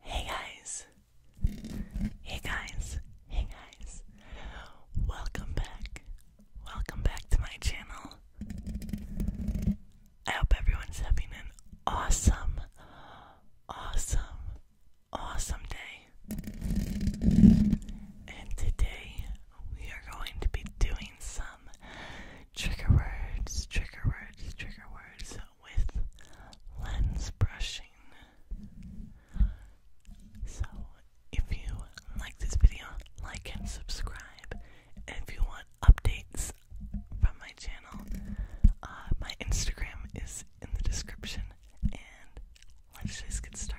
Hey guys! Hey guys! Hey guys! Welcome back! Welcome back to my channel! I hope everyone's having an awesome, awesome, awesome day! And today we are going to be doing some trigger words, trigger words, trigger words with lens brushing. So, if you like this video, like and subscribe. And if you want updates from my channel, uh, my Instagram is in the description. And let's just get started.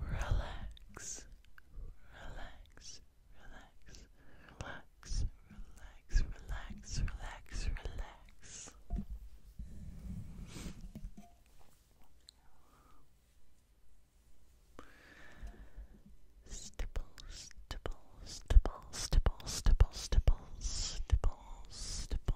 Relax, relax, relax, relax, relax, relax, relax, relax. Stipple, stipple, stipple, stipple, stipple, stipple, stipple, stipple,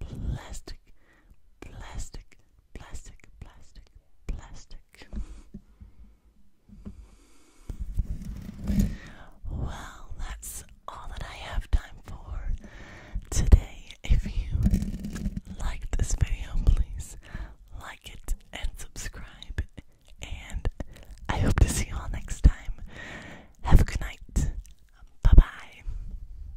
plastic, plastic, plastic, plastic, plastic. Well, that's all that I have time for today. If you liked this video, please like it and subscribe. And I hope to see you all next time. Have a good night. Bye bye.